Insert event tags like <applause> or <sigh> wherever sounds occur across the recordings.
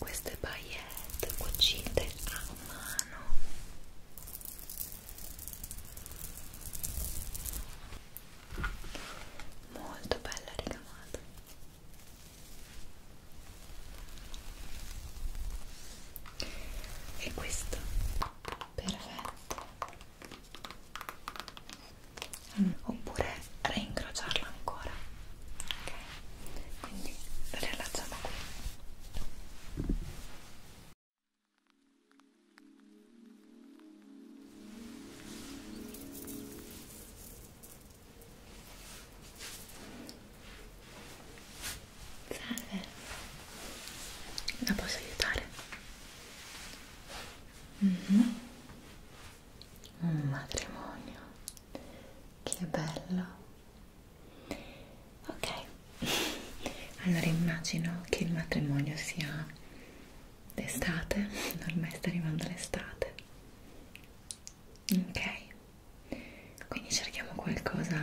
Queste paillette cucite a mano molto bella ricamata e questo perfetto mm. oppure reincrociarla ancora ok quindi rilasciamo qui Salve, la posso aiutare? Mm -hmm. Un matrimonio, che bello. Ok, <laughs> allora immagino che il matrimonio sia d'estate, <laughs> ormai sta arrivando l'estate. Ok, quindi cerchiamo qualcosa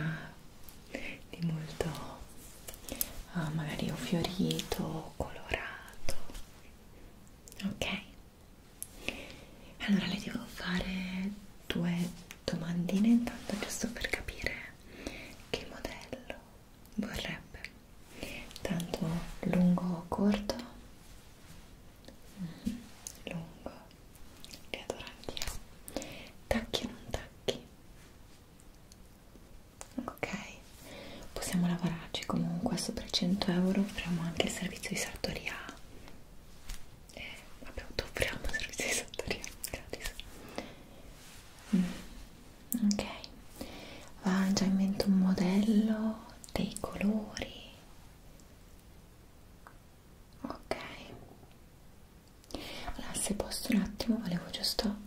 di molto ah, magari o fiorito o colorato ok allora le devo fare due domandine intanto giusto per capire che modello vorrebbe tanto lungo o corto mm, lungo li adoro anch'io tacchi o non tacchi ok possiamo lavorarci comunque sopra i 100 euro offriamo anche il servizio di sartoria eh, appunto offriamo il servizio di sartoria gratis mm, ok va già in mente un modello dei colori ok allora se posso un attimo volevo giusto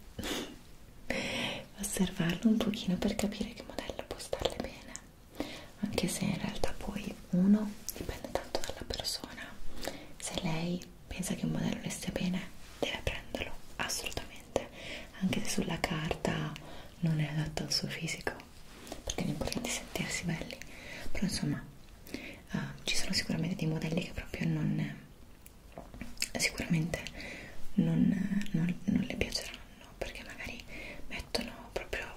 osservarlo un pochino per capire che modello può starle bene anche se in realtà poi uno dipende tanto dalla persona se lei pensa che un modello le stia bene deve prenderlo assolutamente anche se sulla carta non è adatto al suo fisico perché è importante sentirsi belli però insomma uh, ci sono sicuramente dei modelli che proprio non sicuramente non, non, non le piaceranno perché magari mettono proprio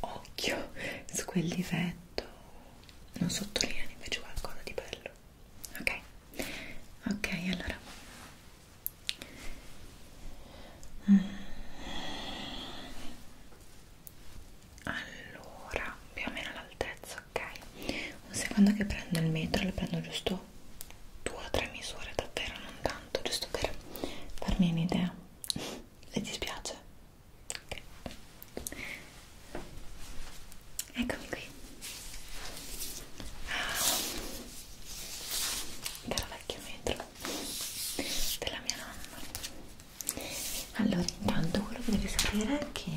occhio su quel difetto non sottolinea invece qualcosa di bello ok ok allora allora più o meno all'altezza ok un secondo che prendo il metro le prendo giusto due o tre misure davvero non tanto giusto per farmi un'idea se ti spiace okay. eccomi qui della ah, vecchia metro della mia nonna allora intanto quello che devi sapere è che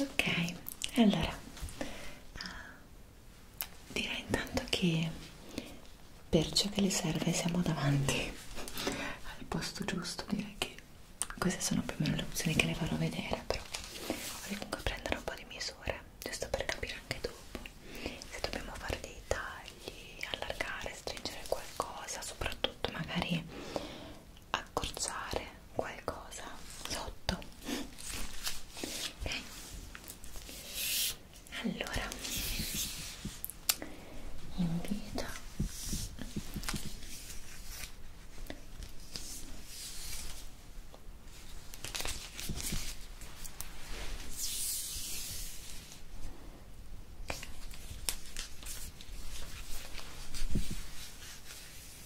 ok allora ah, direi intanto che per ciò che le serve siamo davanti al posto giusto direi che queste sono più o meno le opzioni che le farò vedere però vorrei comunque prendere un po' di misure giusto per capire anche dopo se dobbiamo fare dei tagli allargare, stringere qualcosa soprattutto magari accorciare qualcosa sotto okay. allora invito Okay.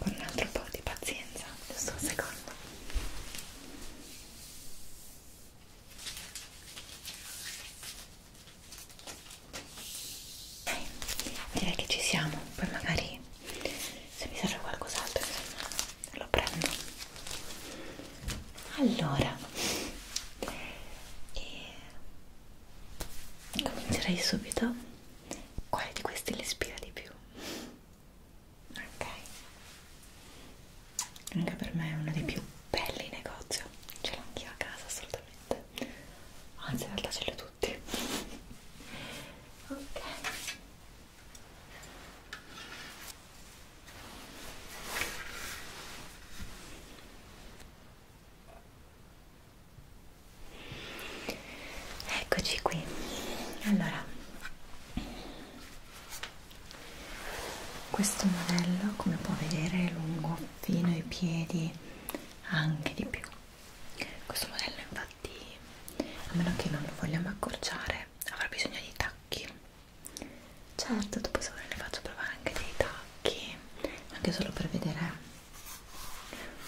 con un altro po' di pazienza giusto un secondo okay. direi che ci siamo poi magari se mi serve qualcos'altro insomma lo prendo allora e Comincerei subito. Quale di questi le ispira di più? Ok. Anche per me è uno dei più belli in negozio. Ce l'ho anch'io a casa assolutamente. Anzi, in realtà ce li ho tutti. <laughs> ok. Eccoci qui. Allora, questo modello, come può vedere, è lungo fino ai piedi, anche di più. Questo modello, infatti, a meno che non lo vogliamo accorciare, avrà bisogno di tacchi certo dopo se volete faccio provare anche dei tacchi anche solo per vedere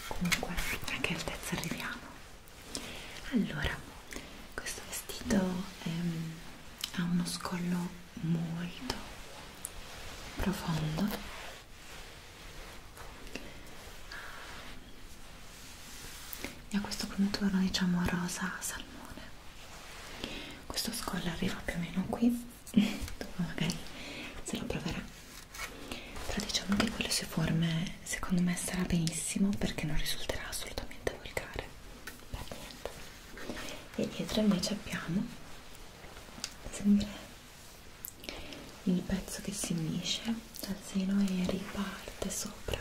comunque a che altezza arriviamo allora questo vestito ehm, ha uno scollo molto profondo e ha questo contorno diciamo rosa salmone questo scollo arriva più o meno qui magari se lo proverà però diciamo che con le sue forme secondo me sarà benissimo perché non risulterà assolutamente volgare per niente e dietro invece abbiamo sempre il pezzo che si unisce dal seno e riparte sopra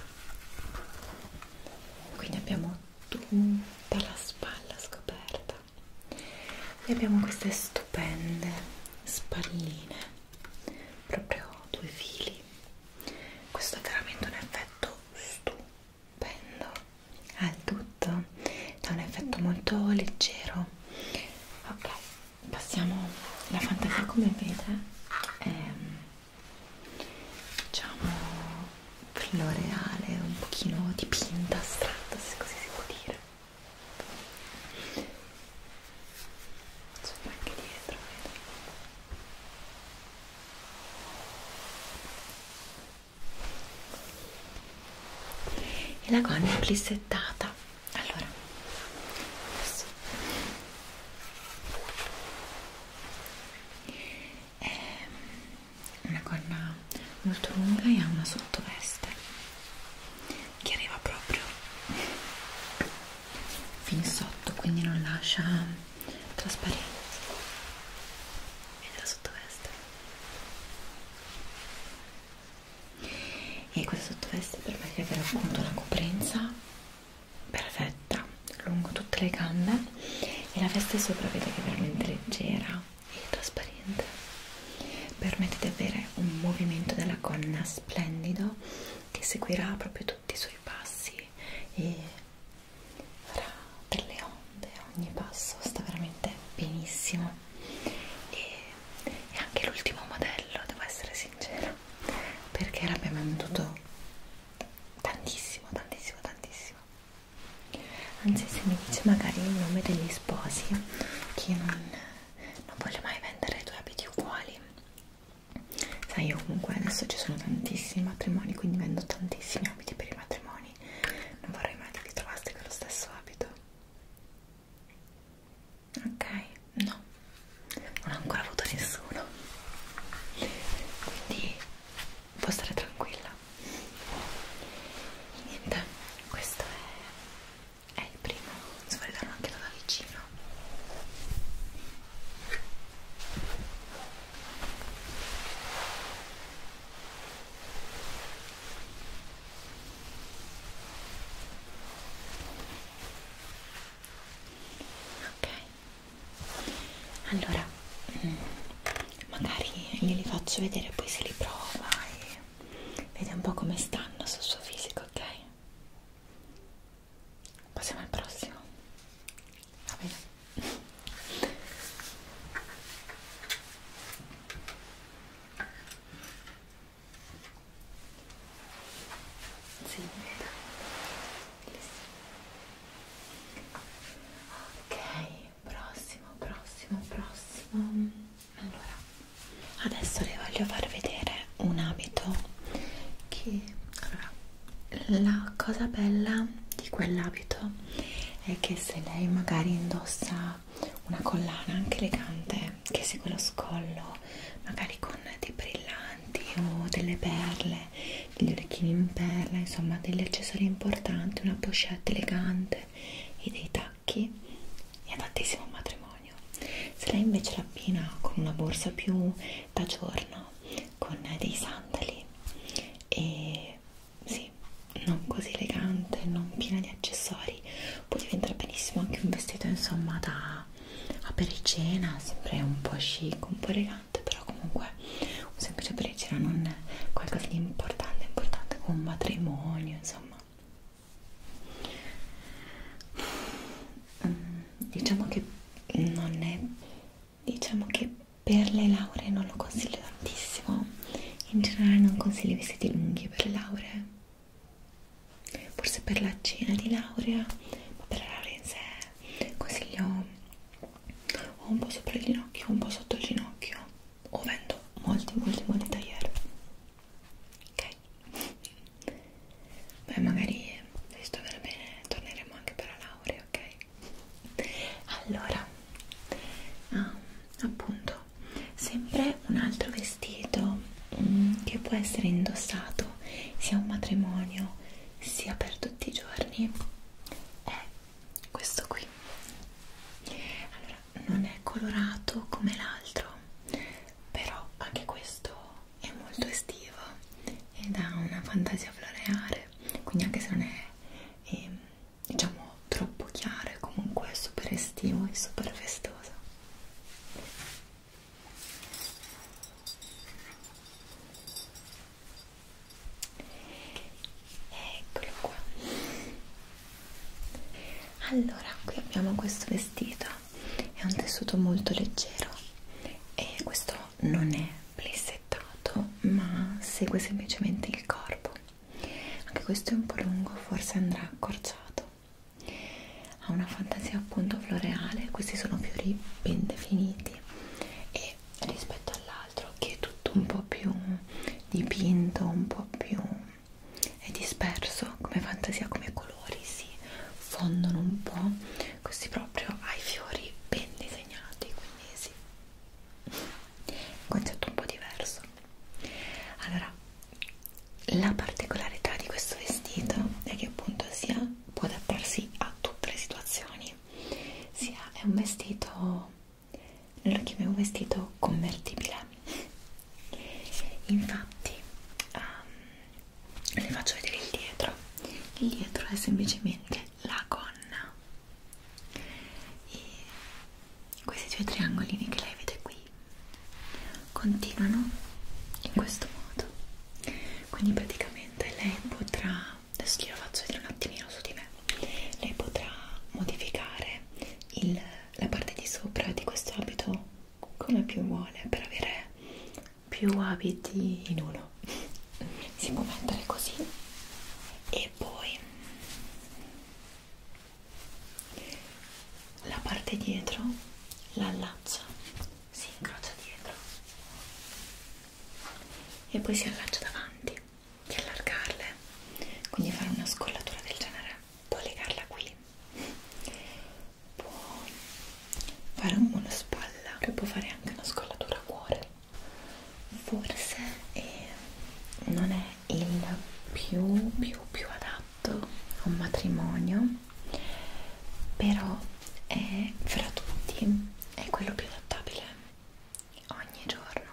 quindi abbiamo tutta la spalla scoperta e abbiamo queste stupende spalline proprio due fili questo è veramente un effetto stupendo al tutto ha un effetto molto leggero ok passiamo la fantasia come vede è ehm, diciamo floreale, un pochino dipinta, astratta, se così si può dire. Sopra anche dietro, vedo. E la gonna è plissettata. Allora, adesso è ehm, una gonna molto lunga e ha una sottoveste che arriva proprio fin sotto quindi non lascia trasparenza ed è la sottoveste e questa sottoveste permette di avere appunto una coprenza perfetta lungo tutte le gambe e la veste sopra vedete che è veramente leggera e trasparente permette di avere un movimento della gonna splendido che seguirà proprio tutti i suoi passi e farà delle onde ogni passo sta veramente benissimo e, e anche l'ultimo modello devo essere sincera perché l'abbiamo venduto tantissimo tantissimo tantissimo anzi se mi dice magari il nome degli sposi che non, non voglio mai vendere due abiti uguali sai io comunque adesso ci sono tantissimi matrimoni quindi vendo tantissimi abiti per i matrimoni non vorrei mai che vi trovaste con lo stesso abito ok no non ho ancora avuto nessuno quindi può stare tranquilla niente questo è, è il primo se vuoi darlo anche da vicino ok allora mm, magari glieli faccio vedere poi se li prova e vede un po' come stanno sul suo fisico ok passiamo al prossimo va bene sì, vedo. ok prossimo prossimo prossimo allora adesso le voglio far vedere un abito che allora, la cosa bella di quell'abito è che se lei magari indossa una collana anche elegante che segue lo scollo magari con dei brillanti o delle perle degli orecchini in perla insomma degli accessori importanti una pochette elegante rose e dei tacchi è adattissimo al matrimonio se lei invece l'abbina con una borsa più da giorno con dei sandali e sì, non così elegante, non piena di accessori può diventare benissimo anche un vestito insomma da apericena sempre un po' chic, un po' elegante però comunque un semplice apericena non qualcosa di importante, importante come un matrimonio, insomma. Mm, diciamo che non è, diciamo che per le lauree non lo consiglio tantissimo. In generale non consiglio vestiti lunghi per le lauree. Forse per la cena di laurea, ma per la laurea in sé consiglio o un po' sopra il ginocchio, un po' sotto il ginocchio o vendo molti molti molti tagliere ok beh magari se sto per bene torneremo anche per la laurea ok allora ah, appunto sempre un altro vestito mm, che può essere indossato sia un matrimonio sia per tutti i giorni è questo qui allora non è colorato come l'altro però anche questo è molto estivo ed ha una fantasia floreale quindi anche se non è, è diciamo troppo chiaro è comunque super estivo e super festoso Eccolo qua allora qui abbiamo questo vestito è un tessuto molto leggero e questo non è plissettato ma segue semplicemente il corpo anche questo è un po' lungo forse andrà accorciato ha una fantasia appunto floreale questi sono fiori ben definiti e rispetto all'altro che è tutto un po' più dipinto un po' più è disperso come fantasia, come colori si fondono un po' così proprio ai fiori ben disegnati quindi sì un concetto un po' diverso allora la particolarità di questo vestito è che appunto sia può adattarsi a tutte le situazioni sia è un vestito allora che avevo vestito convertibile. Infatti, um, le faccio vedere il dietro. Il dietro è semplicemente la gonna. E questi due triangolini che lei vede qui continuano in questo modo. Quindi praticamente lei potrà, adesso glielo faccio vedere un attimino su di me, lei potrà modificare il, la parte di sopra di questo abito come più vuole per avere più abiti in uno <laughs> si può mettere così e poi la parte dietro la allaccia si incrocia dietro e poi si allaccia davanti di allargarle quindi fare una scollatura del genere puoi legarla qui puoi fare un buono spalla e puoi fare anche una scollatura a cuore forse eh, non è il più più più adatto a un matrimonio però è fra tutti è quello più adattabile ogni giorno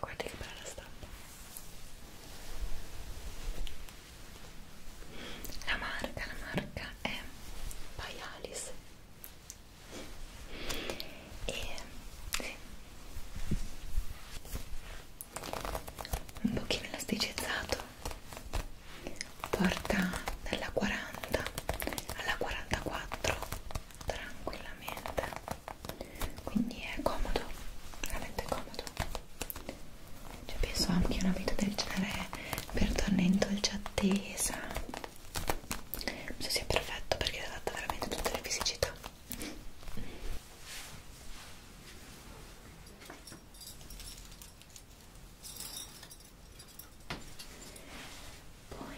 guarda che bella stampa la marca la marca è by Alice e sì. un pochino elasticizzato porta dalla 40 alla 44 tranquillamente quindi è comodo veramente comodo cioè penso anche una vita del genere per tornare dolce attesa penso sia perfetto perché è adatta veramente a tutte le fisicità poi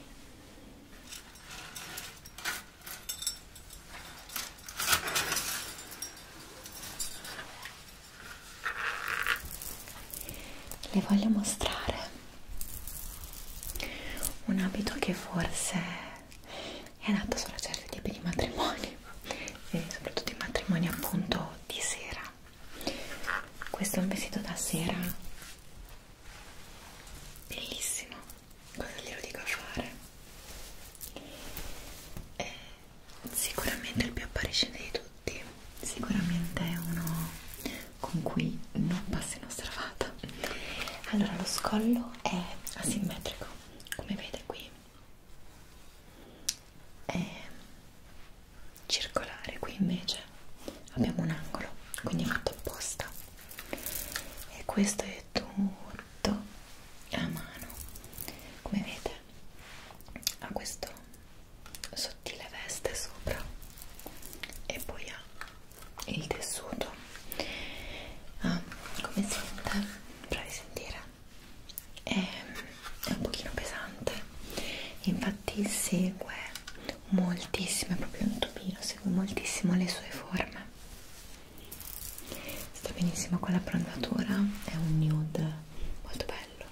le voglio mostrare un abito che forse è adatto solo a certi tipi di matrimoni e soprattutto i matrimoni appunto di sera questo è un vestito da sera bellissimo cosa glielo dico a fare è eh, sicuramente il più appariscente di tutti sicuramente è uno con cui non passi inosservata allora lo scollo è asimmetrico come vede qui è circolare qui invece abbiamo un angolo quindi è fatto apposta e questo è fare tutto a mano come vedete ha questo sottile veste sopra e poi ha il tessuto ah, come sente? provi a sentire è, è un pochino pesante infatti segue moltissimo è proprio un tubino segue moltissimo le sue forme sta benissimo con la prontatura è un nude molto bello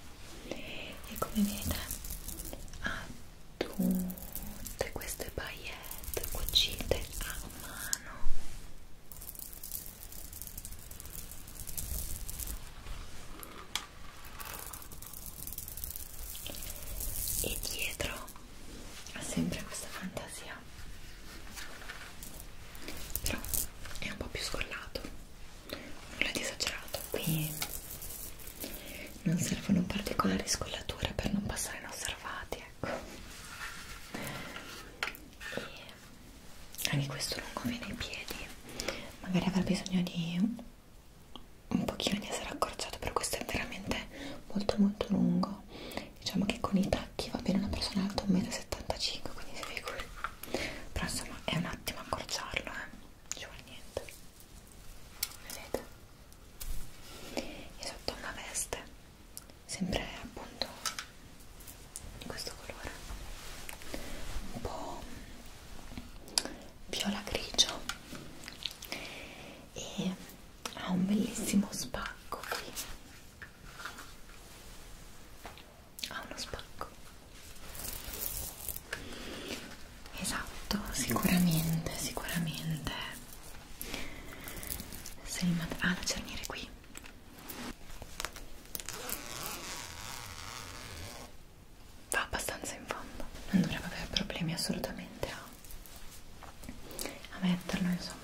e come vede ha tutte queste paillette cucite a mano e dietro ha sempre questa fantasia nera però è un po' più scollato nulla di esagerato qui non servono particolari scollature per non passare inosservati ecco e anche questo lungo viene ai piedi magari avrà bisogno di un pochino di essere accorciato per questo è veramente molto molto lungo diciamo che con i tacchi va bene una persona alta 1,75 m quindi si figuri però insomma è un attimo accorciarlo eh. non ci vuole niente vedete e sotto una veste sempre appunto di questo colore un po' viola grigio e ha un bellissimo spacco qui ha uno spacco esatto sicuramente sicuramente se il ah la cerniere qui va abbastanza in fondo non dovrebbe avere problemi assolutamente a, a metterlo insomma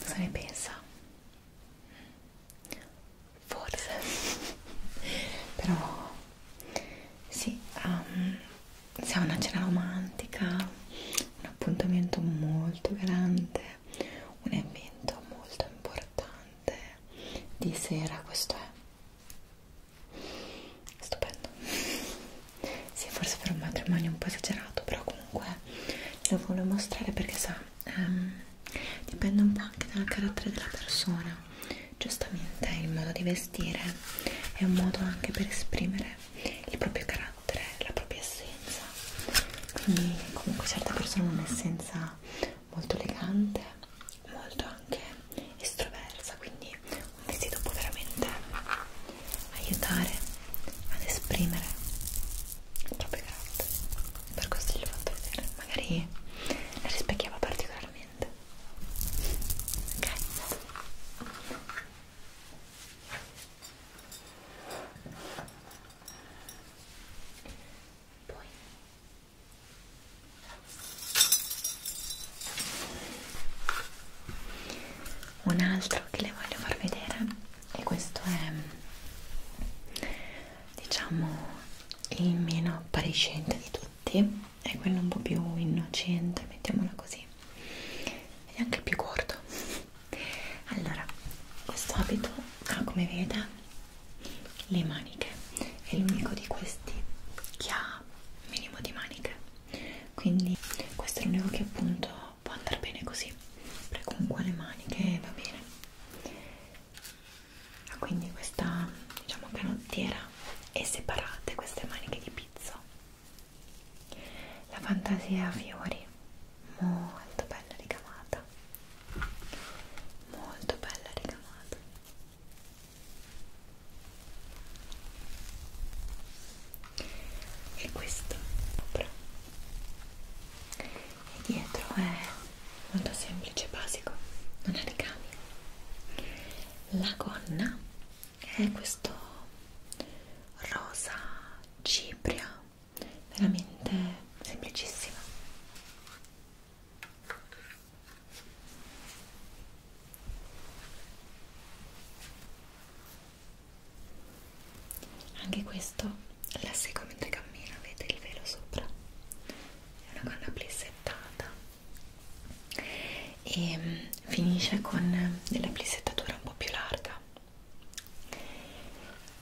cosa ne pensa? forse <laughs> però sì um, ehm, siamo una cena romantica un appuntamento molto grande un evento molto importante di sera questo è stupendo sì forse per un matrimonio un po' esagerato però comunque lo voglio mostrare perché sa ehm, dipende un po' anche dal carattere della persona giustamente il modo di vestire è un modo anche per esprimere il proprio carattere la propria essenza quindi comunque certe persone hanno un'essenza molto elegante molto anche estroversa quindi un vestito può veramente aiutare ad esprimere il proprio carattere per questo glielo ho fatto vedere magari la rispecchiava particolarmente ok poi un altro che le voglio far vedere e questo è diciamo il meno appariscente di tutti è quello un po' più innocente mettiamola così e anche più corto allora questo abito ha come vede le maniche è l'unico di questi che ha minimo di maniche quindi questo è l'unico che appunto può andare bene così prego con quale maniche va bene ah, quindi questa diciamo canottiera e separate queste maniche di pizzo la fantasia a fiori molto bella ricamata molto bella ricamata e questo sopra e dietro è molto semplice, basico, non ha ricami la gonna è questo rosa cipria veramente semplicissima anche questo la seguo mentre cammina, vede il velo sopra. È una gonna plissettata e ehm, finisce con della plissettatura un po' più larga.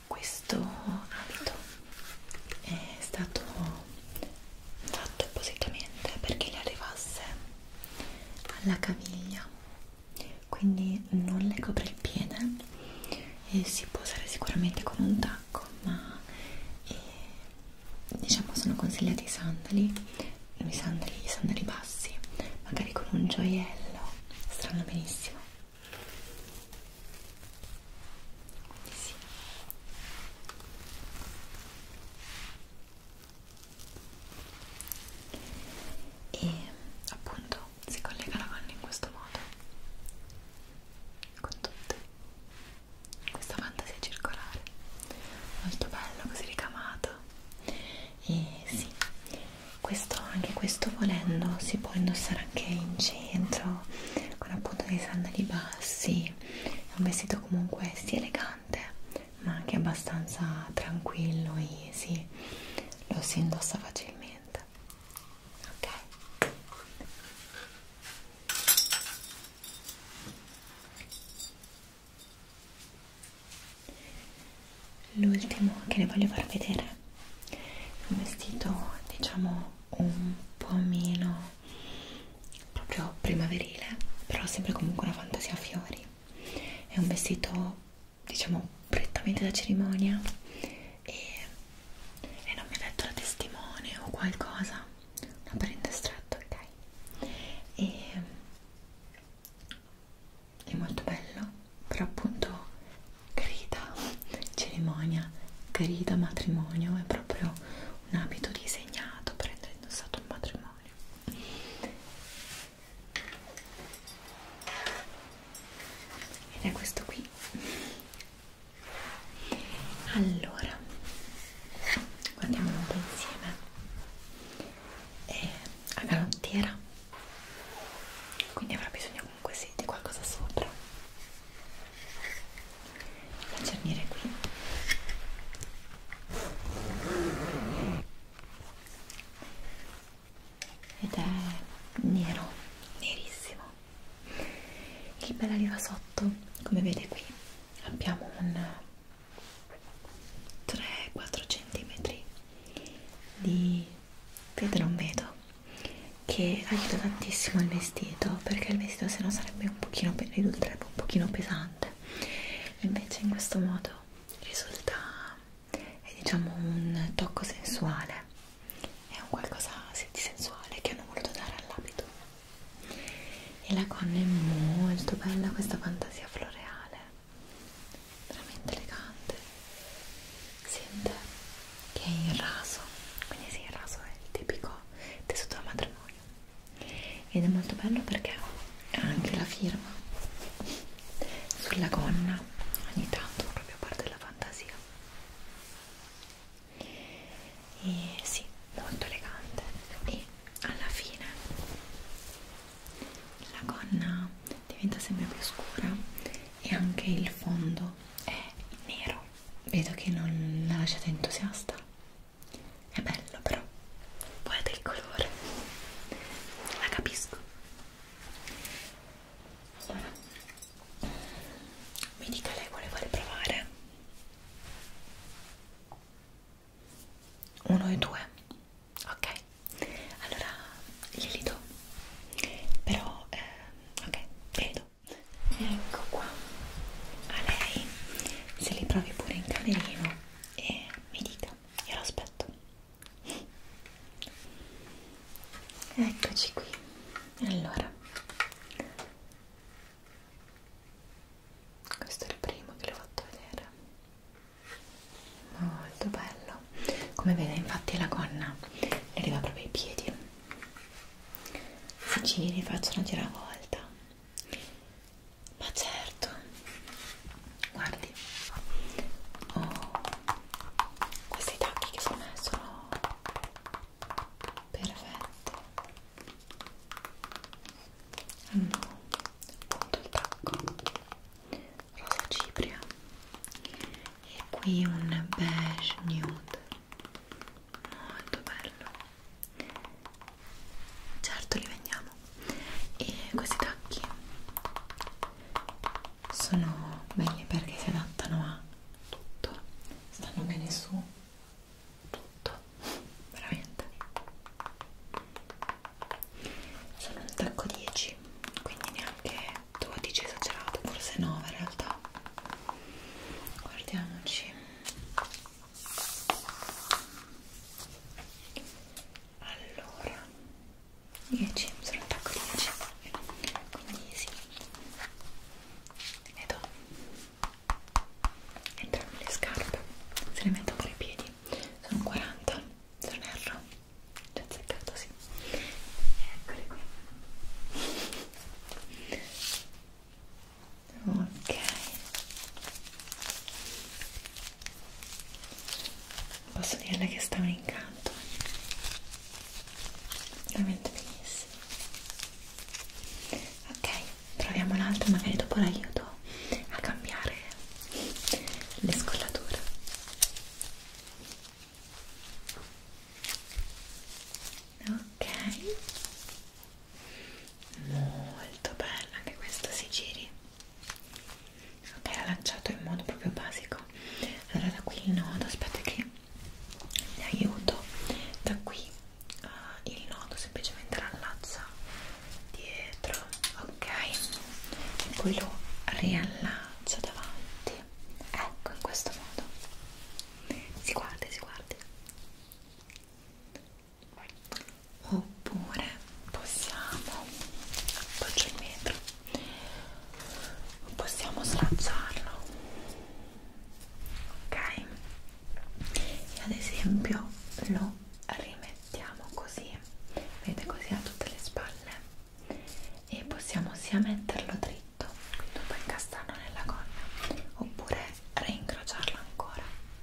Questo abito è stato fatto appositamente perché gli arrivasse alla caviglia quindi non le copre il piede e si può usare sicuramente con un tacco ma eh, diciamo sono consigliati i sandali i sandali, i sandali bassi magari con un gioiello strano benissimo sì e appunto si collega la gonna in questo modo con tutte questa fantasia circolare molto bello così ricamato e sì questo anche questo volendo si può indossare anche in centro con appunto dei sandali bassi è un vestito comunque sì elegante ma anche abbastanza tranquillo, easy, lo si indossa facilmente. Ok. L'ultimo che ne voglio far vedere un vestito diciamo un po' meno proprio primaverile, però sempre comunque una fantasia a fiori. È un vestito, diciamo, prettamente da cerimonia e, e non mi ha detto la testimone o qualcosa, una prenda stretta, ok? E, è molto bello, però appunto grida cerimonia, grida matrimonio, è proprio un abito disegnato per essere indossato un matrimonio memoria ed è questo qui allora guardiamolo un po' insieme è a galottiera quindi avrà bisogno comunque sì, di qualcosa sopra da cernire qui ed è nero, nerissimo. Il bel arriva sotto, come vede qui, abbiamo un 3-4 cm di vetro non vedo che aiuta tantissimo il vestito perché il vestito se no sarebbe un pochino ridotto, un pochino pesante invece in questo modo risulta è eh, diciamo un tocco sensuale è un qualcosa di sensuale che hanno voluto dare all'abito e la gonna è molto bella questa fantasia floreale veramente elegante sente che è il raso quindi sì il raso è il tipico tessuto da matrimonio ed è molto bello perché ha anche la firma sulla gonna ogni tanto proprio a parte la fantasia e sì, molto elegante e alla fine la gonna diventa sempre più scura e anche il fondo è nero vedo che non la lasciate entusiasta è bello però, guarda il colore, la capisco. Ora, mi dica lei quale vuole provare? Uno e due, ok? Allora glieli do, però, eh, ok, glieli do. Ecco qua, a lei se li provi pure in camerino e mi dica, io lo aspetto. Eccoci qui. Allora, questo è il primo che l'ho fatto vedere. Molto bello. Come vede, infatti, la gonna le arriva proprio ai piedi. Giri, faccio una giravolta ma certo, guardi, oh, questi tacchi che sono sono perfetti. Hanno appunto il tacco rosa cipria e qui un beige nude molto bello certo li vendiamo e questi tacchi sono belli perché si adattano a tutto stanno bene su tutto veramente sono un tacco 10 quindi neanche 12 esagerato forse 9 in realtà guardiamoci allora 10 sono attacco 10 quindi sì ne do entrambe le scarpe se le metto con i piedi sono 40 se non erro già azzeccato sì eccole qui ok posso dirle che sta un incanto veramente benissimo ok proviamo l'altro magari dopo l'aiuto a cambiare le scollature ok molto bella anche questa si giri ok diciamo l'ha lanciato in modo proprio basico allora da qui il nodo aspetta che vi aiuto da qui uh, il nodo semplicemente l'allaccia dietro ok e poi lo riallaccio davanti ecco in questo modo si guardi si guardi oppure possiamo faccio il metro possiamo slacciarlo ok e ad esempio lo rimettiamo così vedete così a tutte le spalle e possiamo sia metterlo dritto quindi un po' incastrarlo nella gonna oppure reincrociarlo ancora